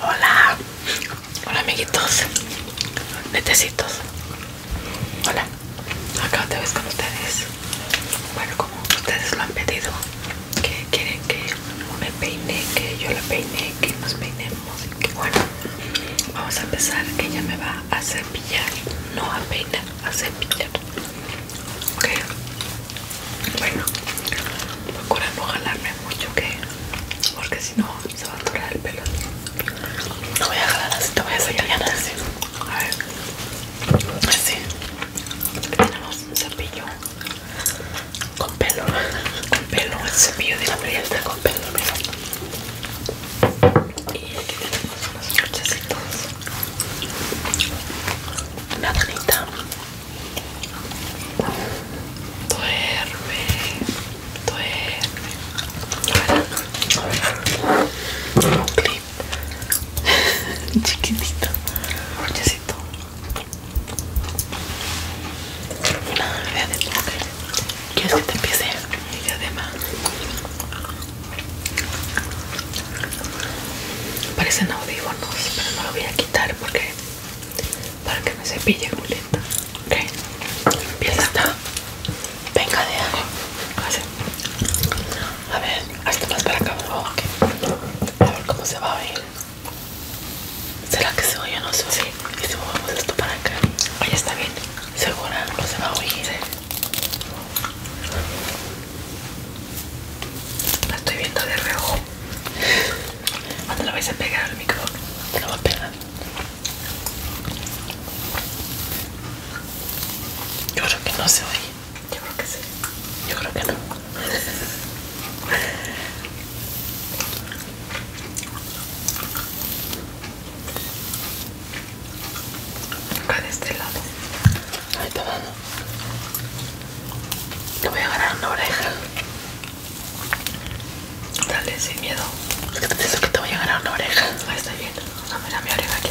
Hola, hola amiguitos, netecitos. Hola, acá te vez con ustedes. Bueno, como ustedes lo han pedido, que quieren que me peine, que yo la peine, que nos peinemos. Que bueno, vamos a empezar. que Ella me va a cepillar, no a peinar, a cepillar. Ok, bueno, procura jalarme mucho, que Porque si no, se va a durar el pelo. No voy a jalar así, te voy a sacar ya Así. A ver. Así. Tenemos un cepillo. Con pelo. Con pelo. El cepillo de la playa está con pelo, Y aquí tenemos unos brochecitos. Una tanita. Duerme, duerme. Un clip chiquitito, brochecito. Nada, idea de ¿Quieres que te empiece? Y además. Parecen audífonos, pero no lo voy a quitar porque para que me cepille Julieta. Ok, empieza. está. Venga de a A ver, hasta más para acá. A ver cómo se va a oír. ¿Será que se oye no sé oye? Y si movemos esto para acá. Oye, está bien. ¿Segura? No se va a oír. ¿eh? La estoy viendo de reojo. ¿Cuándo la vais a pegar al micrófono? Te la voy a pegar. Yo creo que no se oye. Yo creo que sí. Yo creo que no. Acá de este lado. Ahí está dando. Te voy a ganar una oreja. Dale, sin miedo. Es que te que te voy a ganar una oreja. Ahí está bien. No, da mi oreja aquí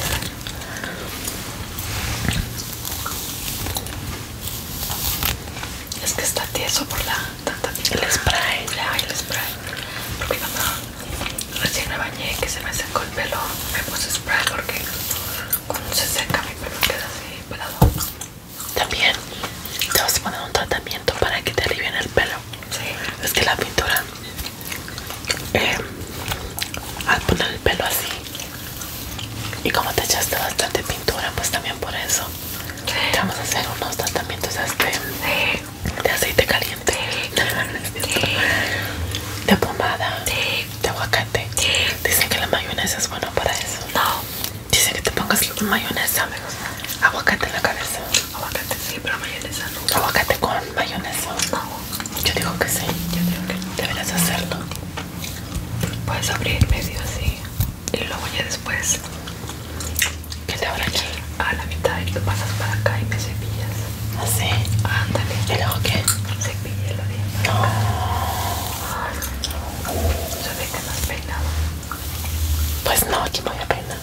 Es que está tieso por la tanta El spray. Ya, el spray. Porque cuando recién me bañé que se me secó el pelo, me puse spray porque cuando se seca pero queda así También te vas a poner un tratamiento para que te alivien el pelo. Sí. Es que la pintura, eh, al poner el pelo así, y como te echaste bastante pintura, pues también por eso. vamos a hacer unos tratamientos este, de aceite caliente, de pomada de aguacate. Dicen que la mayonesa es buena para eso. No. Dicen que te pongas mayonesa. Aguacate en la cabeza. Aguacate sí, pero mayonesa no. Aguacate con mayonesa. No. Yo digo que sí. Yo digo que Deberías hacerlo. Puedes abrir medio así. Y luego ya después. ¿Qué te abran aquí? A la mitad y lo pasas para acá y me cepillas. Así. Ándale. ¿Y luego qué? el oriente. No. Se ve que no has peinado. Pues no, aquí me voy a peinar.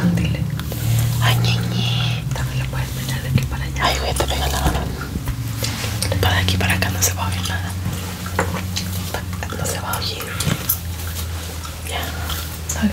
Ándale. Ay, ñeñe. También lo puedes peinar de aquí para allá. Ay, güey, te pegar la mano. Para aquí para acá no se va a oír nada. No se va a oír. Ya. Dale.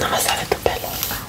No me sale tu pelo. Ah,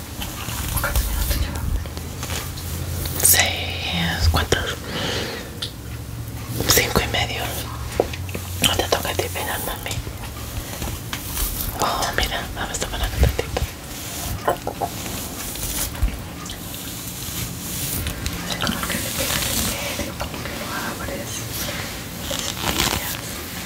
¿Cuántos minutos llevas? Seis. ¿Cuántos? Cinco y medio. No te toca a ti pegar, mami. Oh, mira, vamos a tomar un tantito. Como que le pegas el medio, como que lo abres. Las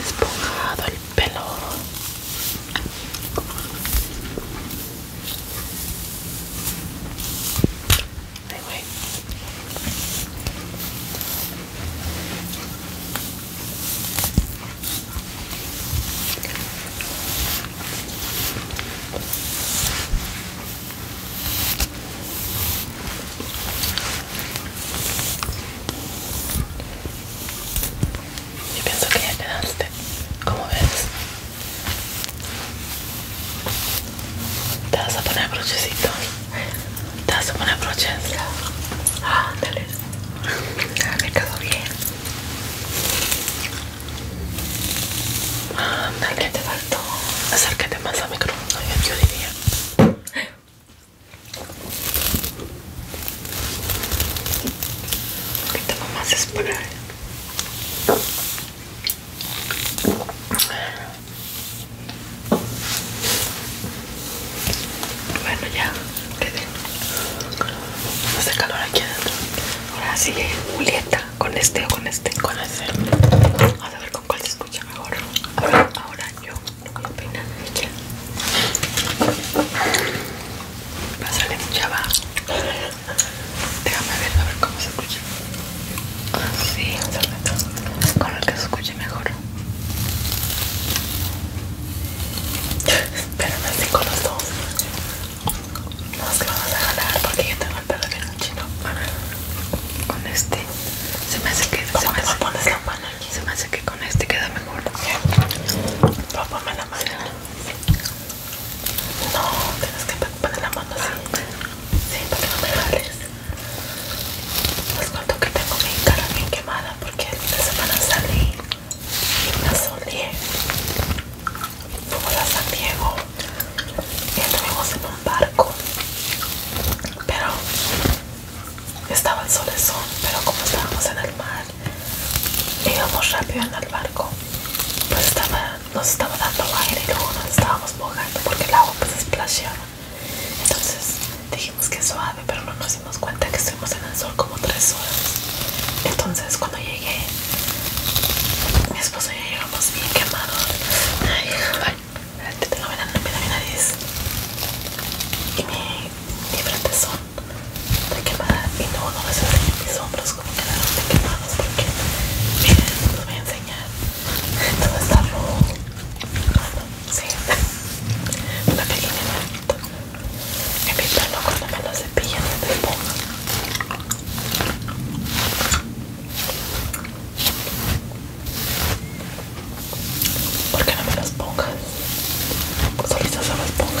esponjado el pelo wait. Yo pienso que ya quedaste. Como ves? Te vas a poner brochecito Te vas a poner broches. Ah, dale. me cago bien. Ah, ¿Qué te faltó? Acércate más al micrófono, yo diría. Un poquito más esperar. Bueno, ya quedé. Hace calor aquí adentro. Ahora sigue Julieta con este o con este. Con este. Vamos a ver con cuál se escucha mejor. ahora yo con los peinados a Pásale mucha va Déjame ver, a ver cómo se escucha Así, con el que se escuche mejor Pero no con los dos Nos vamos a jalar porque yo tengo el pelo con este. Se me hace que. me pones la mano se me hace que con este queda mejor. Papá, me la mano. No, tienes que poner la mano así. Sí, para que no me jales. Les pues cuento que tengo mi cara bien quemada porque esta semana salí y me asolé como a San Diego y se pone barco pero estaba el sol, sol, pero como estábamos en el mar íbamos rápido en el barco pues estaba, nos estaba dando aire y luego nos estábamos mojando porque el agua pues esplasheaba, entonces dijimos que suave pero no nos dimos cuenta que estuvimos en el sol como tres horas entonces cuando llegué mi esposo y yo íbamos bien quemados Realmente tengo verano en mi nariz y mi, mi frente son de quemada y no, no les enseño mis hombros como quedaron de quemados porque miren, los voy a enseñar todo está rojo bueno, sí una pequeña manita en mi pelo cuando me lo cepillan y me pongo porque no me las pongas? Solitas se las pongas.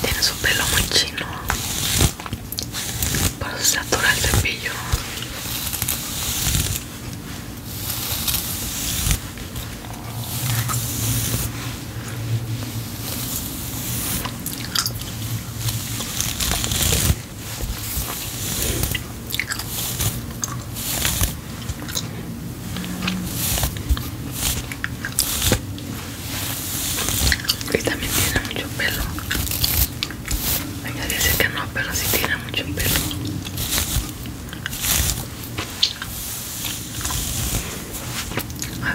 Tiene su pelo muy chino para saturar el cepillo y también tiene mucho pelo ella dice que no, pero sí tiene mucho pelo. A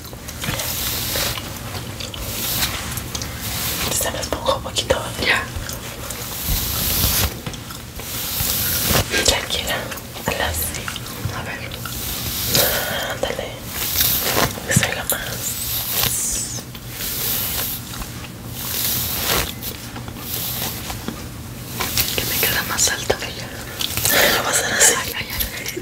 Se me esponja un poquito. Ya. Tranquila. A A ver. Ándale. Que lo más. Que me queda más que bella. Lo vas a hacer así.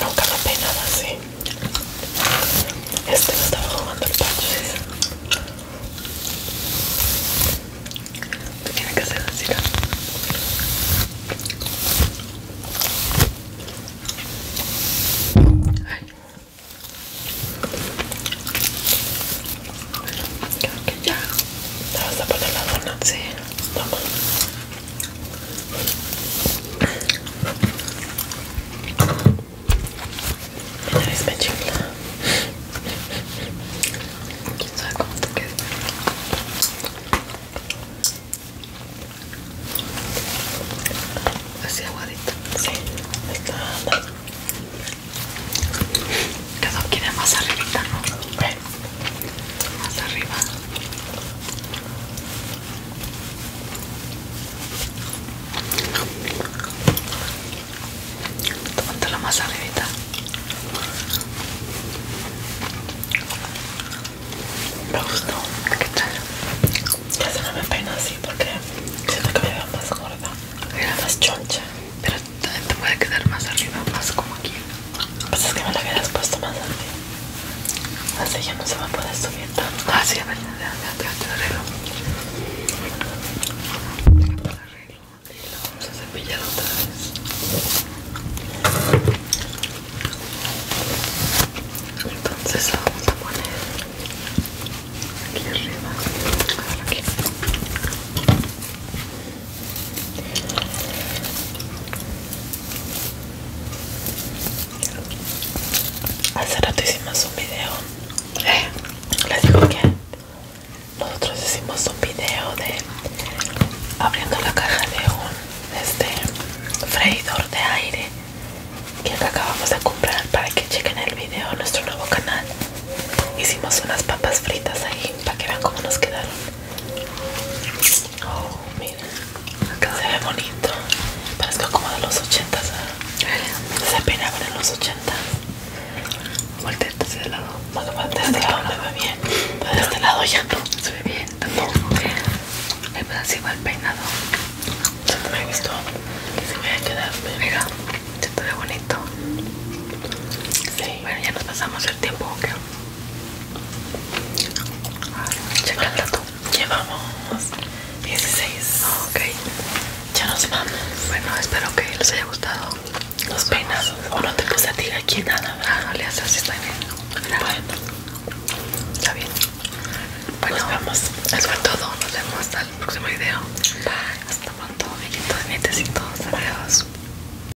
Nunca lo he peinado así. Este lo estaba jugando el parche. Tiene que ser así. Ay. Creo que ya. ¿Te vas a poner la dona? Sí. Toma. Es Quién sabe cómo te Así aguadito. Sí, está ¿Qué aquí de más arribita, ¿no? Más arriba la la arribita. Me gustó. ¿Qué tal? Ya se no me peina así porque siento que me veo más gorda, más choncha. Pero te puede quedar más arriba, más como aquí. Pues es que me lo hubieras puesto más así. Así ya no se va a poder subir tanto. Ah, sí, a ver, ya, ya, te lo arreglo. y lo vamos a cepillar otra vez. Entonces lo vamos a poner aquí arriba. Aquí. Hace rato hicimos un video. Eh, digo que nosotros hicimos un video de abriendo la caja de un este freidor de aire que acabamos de comprar para que chequen el video nuestro nuevo canal. Hicimos unas papas fritas ahí para que vean cómo nos quedaron. Oh, mira, acá se ve bonito. Parezco como de los ochentas. ¿eh? Se peinaba en los ochentas. Volteate de este lado. No, de este lado se ve bien. Pero de este lado ya no. Se ve bien también. No. así va el peinado. me he visto. Se me a quedar bien. ¿eh? Mira, se te ve bonito. Sí. Bueno, ya nos pasamos el tiempo ya el dato. Llevamos 16. Ok. Ya nos vamos. Bueno, espero que les haya gustado los peinados. O no te puse a ti aquí nada. vale, no le haces así, está bien. Bueno. Está bien. Bueno, nos vemos. Eso fue todo. Nos vemos hasta el próximo video. Bye. Hasta pronto, nietecitos. Adiós.